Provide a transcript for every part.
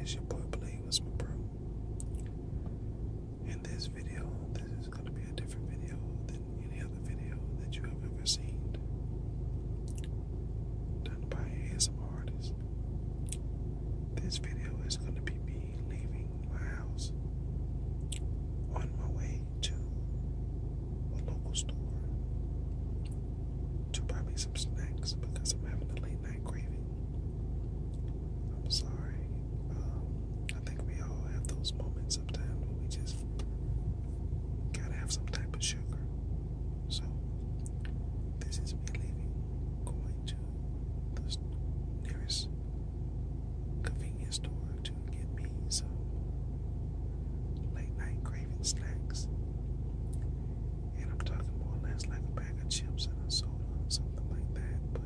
it's your boy Blade with my bro. In this video, this is gonna be a different video than any other video that you have ever seen. Done by ASMR artist. This video is gonna be me leaving my house on my way to a local store to buy me some snacks because I'm having a late night craving. I'm sorry. Um, I think we all have those moments sometimes when we just gotta have some type of sugar. So, this is me leaving, going to the nearest convenience store to get me late night craving snacks. And I'm talking more or less like a bag of chips and a soda something like that. But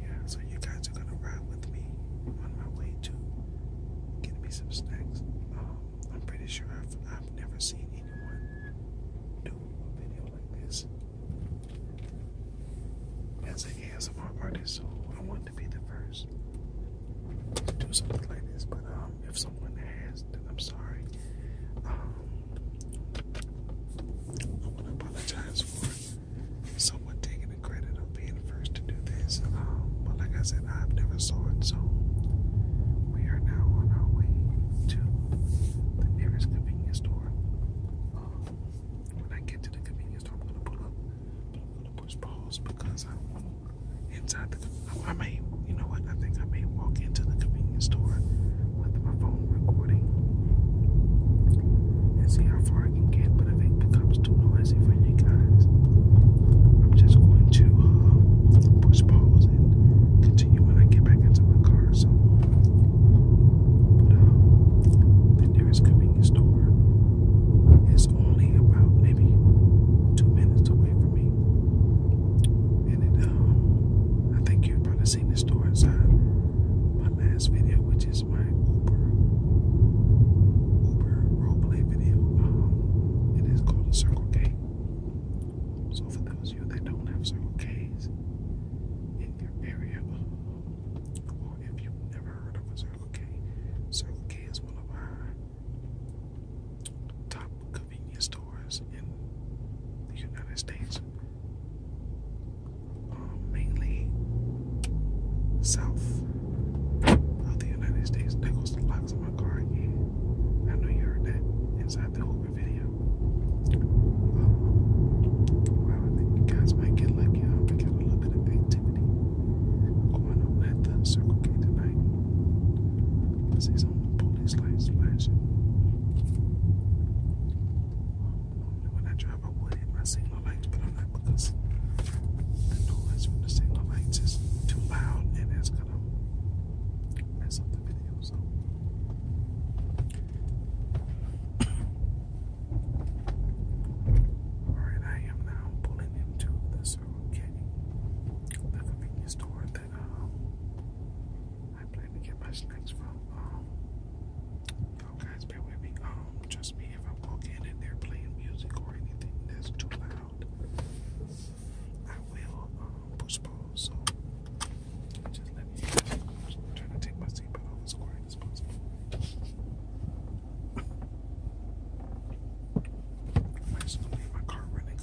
yeah, so you guys are gonna ride with me on my way to get me some snacks. Um, I'm pretty sure I've, I've never seen anyone do a video like this. As an ASMR artist, so I want be the first to do something like this, but um, if someone has, then I'm sorry. Um, I want to apologize for someone taking the credit of being the first to do this. Um, but like I said, I've never saw it, so we are now on our way to the nearest convenience store. Um, when I get to the convenience store, I'm gonna pull up, backwards pose because I'm inside the. I may, you know what? I think I may walk into the convenience store with my phone recording and see how far I can get. But if it becomes too noisy for you guys, I'm just going to uh, push pause and continue when I get back into my car. So, but um, convenience store it's only about maybe two minutes away from me. And um, I think you probably seen this store inside my last video, which is my Uber, Uber roleplay video. Um, it is called a Circle K. So for those of you that don't have Circle Ks in your area, or if you never heard of okay. is one of our top convenience stores in the United States, um, mainly south of the United States. That goes the locks of my car again. I know you heard that inside the Uber video. Um, I think you guys might get lucky. I might get a little bit of 18 activity on at the Circle K tonight. You can see some of the police lights flashing. when I drive, I would hit my signal lights, but I'm not because the noise from the signal lights is too loud and it's gonna mess up the video. So. Alright, I am now pulling into the Circle K, the convenience store that uh, I plan to get my snacks from. Um, oh, guys, bear with me. Um, trust me, if I'm walking and they playing music or anything that's too loud, I will um, So, just let me. i to take my seatbelt off, it's quite I just don't leave my car running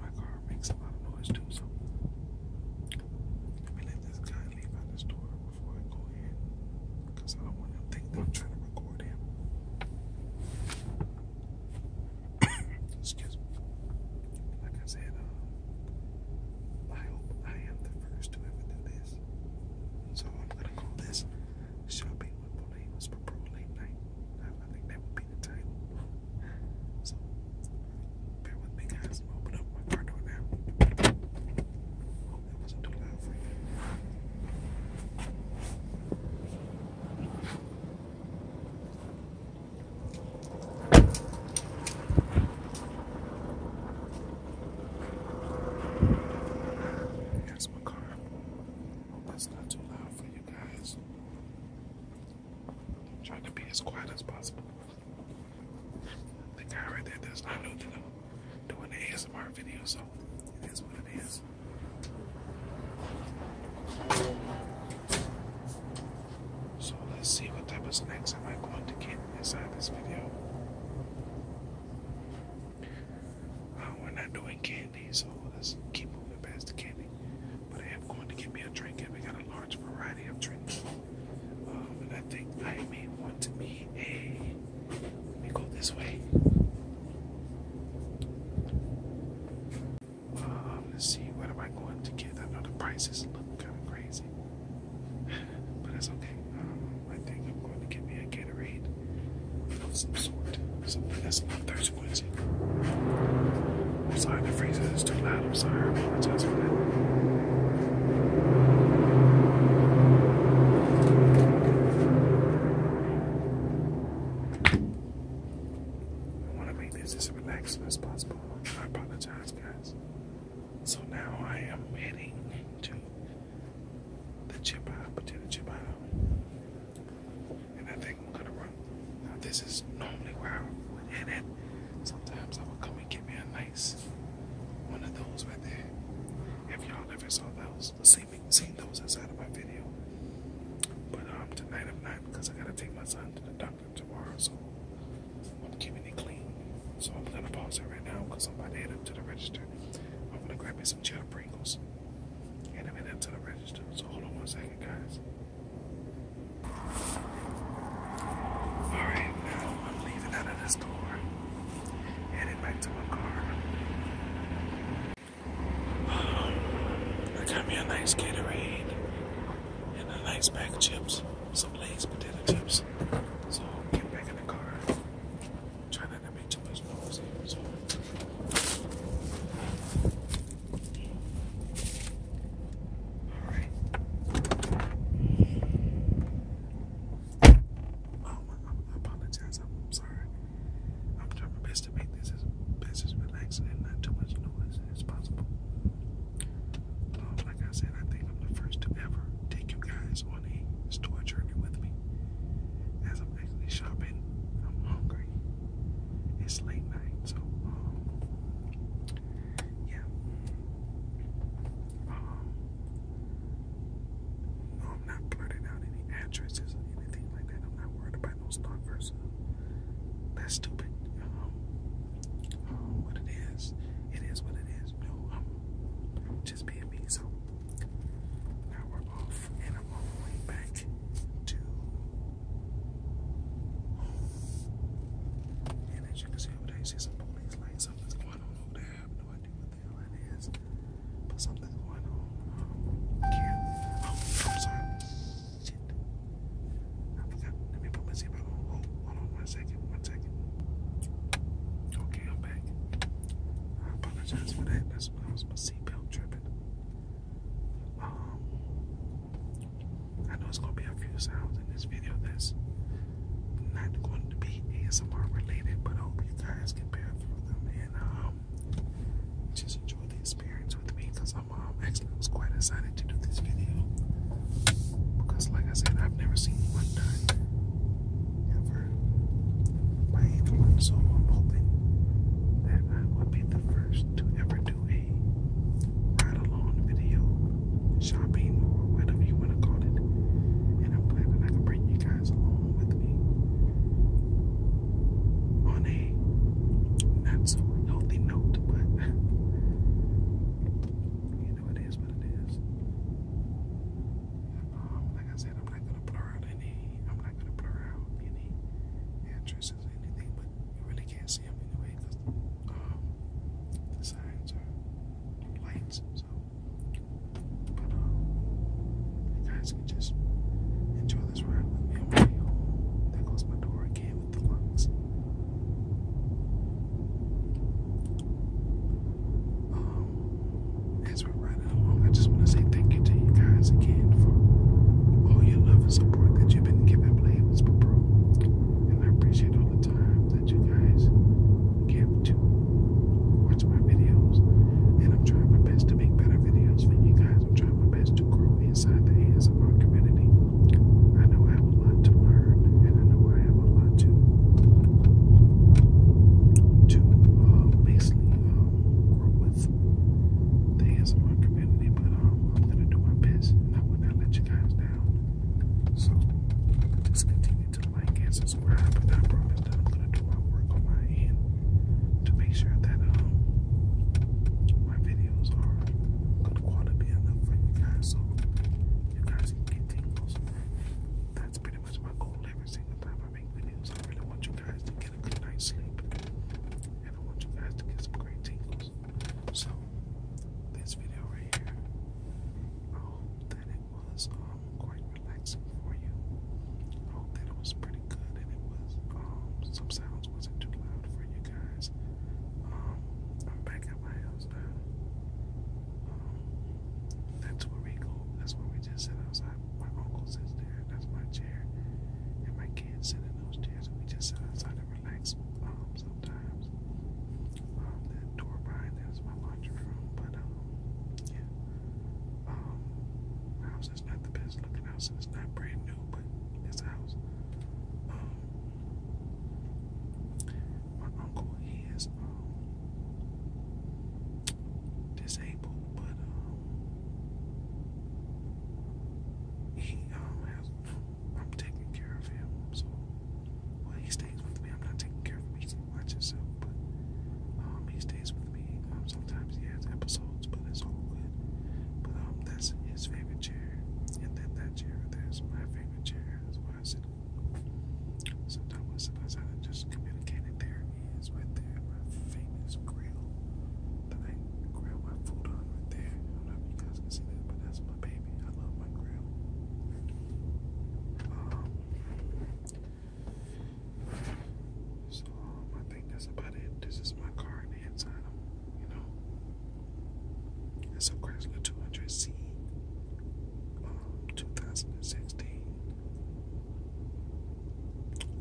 my car makes a lot of noise too. So let this guy leave out his before I go in I don't want him to think that I'm trying to record him. Excuse me. Like I said, um, I hope I am the first to ever do that. So I'm gonna call this shopping with Bolanos for Pro Late Night. I think that would be the title. So bear with me guys. open up my car door now. Hope that wasn't too loud for you. That's my car. That's not too loud for you guys. trying to be as quiet as possible. The guy right there does not know that I'm doing an ASMR video, so it is what it is. So let's see what type of snacks am I going to get inside this video. Uh, we're not doing candy, so let's keep moving past the candy. But I am going to get me a drink, and we got a large variety of drinks. Um, and I think I may want to be a. Let me go this way. Um, let's see, what am I going to get? I know the prices look kind of crazy. but that's okay. Um, I think I'm going to get me a Gatorade of some sort. Something that's not thirst quenching. I'm sorry, the freezer is too loud. I'm sorry, I apologize for that. I want to make this as relaxing as possible. I apologize, guys. So now I am heading to the chip out, potato chip out. And I think I'm gonna run. Now this is normally where I would head it. Sometimes I would come and get me a nice one of those right there. If y'all ever saw those, seen, me, seen those inside of my video. But um, tonight I'm not because I gotta take my son to the doctor tomorrow, so I'm keeping it clean. So I'm gonna pause it right now because I'm about to head up to the register. I'm gonna grab me some cheddar Pringles and I'm headed up to the register. So hold on one second, guys. Alright, now I'm leaving out of this door. Headed back to my car. I got me a nice Gatorade and a nice bag of chips some legs, potato chips. So get back in the car. Try not to make too much noise So. All right. Oh, I apologize. I'm sorry. I'm trying my best to make this as best as relaxing and not too much noise as possible. Um, like I said, I think I'm the first to ever take you guys on a store journey with me. As I'm actually shopping, I'm hungry. It's late night, so um, yeah. Um, no, I'm not blurting out any addresses or anything like that. I'm not worried about no stalkers. That's stupid what it is. It is what it is. No, I'm just being me. So now we're off, and I'm on the way back to And as you can see over there, you see some police lights. Something's going on over there. I have no idea what the hell it is, but something's going on. Um, oh, I'm sorry. I Let me put my zipper on. Hold, on one second. One second. Okay, I'm back. I apologize for that. That's why I was my seatbelt tripping. Um, I know it's gonna be a few sounds in this video that's not going to be ASMR related, but I hope you guys can bear through them and um just enjoy the experience with me because I'm mom uh, actually was quite excited to do this video because, like I said, I've never seen one done ever by anyone, so I'm hoping that I will be the first to ever do a ride along video, shopping, or whatever you want to call it. And I'm glad I can bring you guys along with me on a not so healthy note, but You know, it is what it is. Um, like I said, I'm not gonna blur out any. I'm not gonna blur out any entrances or anything, but you really can't see them anyway um, the signs are lights. So, but um, you guys can just enjoy this ride with me. I'm right home. There goes my door again. Um, as we're riding along, I just want to say thank you to you guys again for all your love and support that you've been giving Blaze for Pro. And I appreciate all the time that you guys give to watch my videos. And I'm trying my best to make better videos for you guys. I'm trying my best to grow inside the hands of our community. I know I have a lot to learn, and I know I have a lot to to uh, basically um, with the hands of our community. But um, I'm gonna do my best, and I will not let you guys down. So just continue to like and subscribe, and I promise I'm gonna do my work on my end to make sure that um, my videos are good quality enough for you guys so you guys get tingles. That's pretty much my goal every single time I make videos. I really want you guys to get a good night's sleep. And I want you guys to get some great tingles. So this video right here, I hope that it was um, quite relaxing for you. hope that it was pretty good and it was um, some sounds wasn't too loud for you guys. Um, I'm back at my house now. Um, that's where we go. That's where we just sit outside. My uncle sits there. That's my chair. And my kids sit in those chairs. And we just sit outside and relax um, sometimes. that door behind there is my laundry room. But, yeah. my house is not the best looking house. it's not brand new, but it's a house. Um, my uncle, he is um, disabled, but um, he um, has. I'm taking care of him, so well, he stays with me. I'm not taking care of him; he can watch himself, but um, he stays with me. Um, sometimes he has episodes clothes, but it's all um, that's his favorite chair, and then that chair there's my favorite chair. That's why I sit. Sometimes I sit outside just communicate. And there it is, right there, my famous grill that I grill my food on right there. I don't know if you guys can see that, but that's my baby. I love my grill. Um, so, I think that's about it. This is my car inside of you know. It's a Chrysler 200C, um, 2016.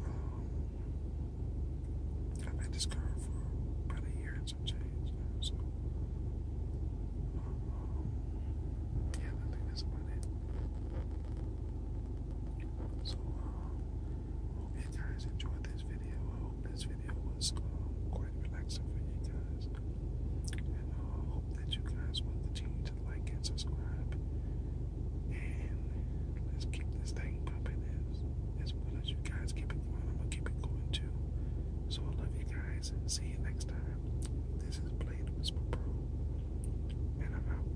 Um, I've had this car for about a year and some change so. Um, yeah, I think that's about it. So, um, Hope you guys enjoyed this video. I hope this video was um, quite relaxing for you guys. And uh, I hope that you guys will continue to like and subscribe. And let's keep this thing pumping as, as well as you guys keep it going. I'm going to keep it going too. So I love you guys and see you next time. This is Blade Whisper Pro. And I'm out.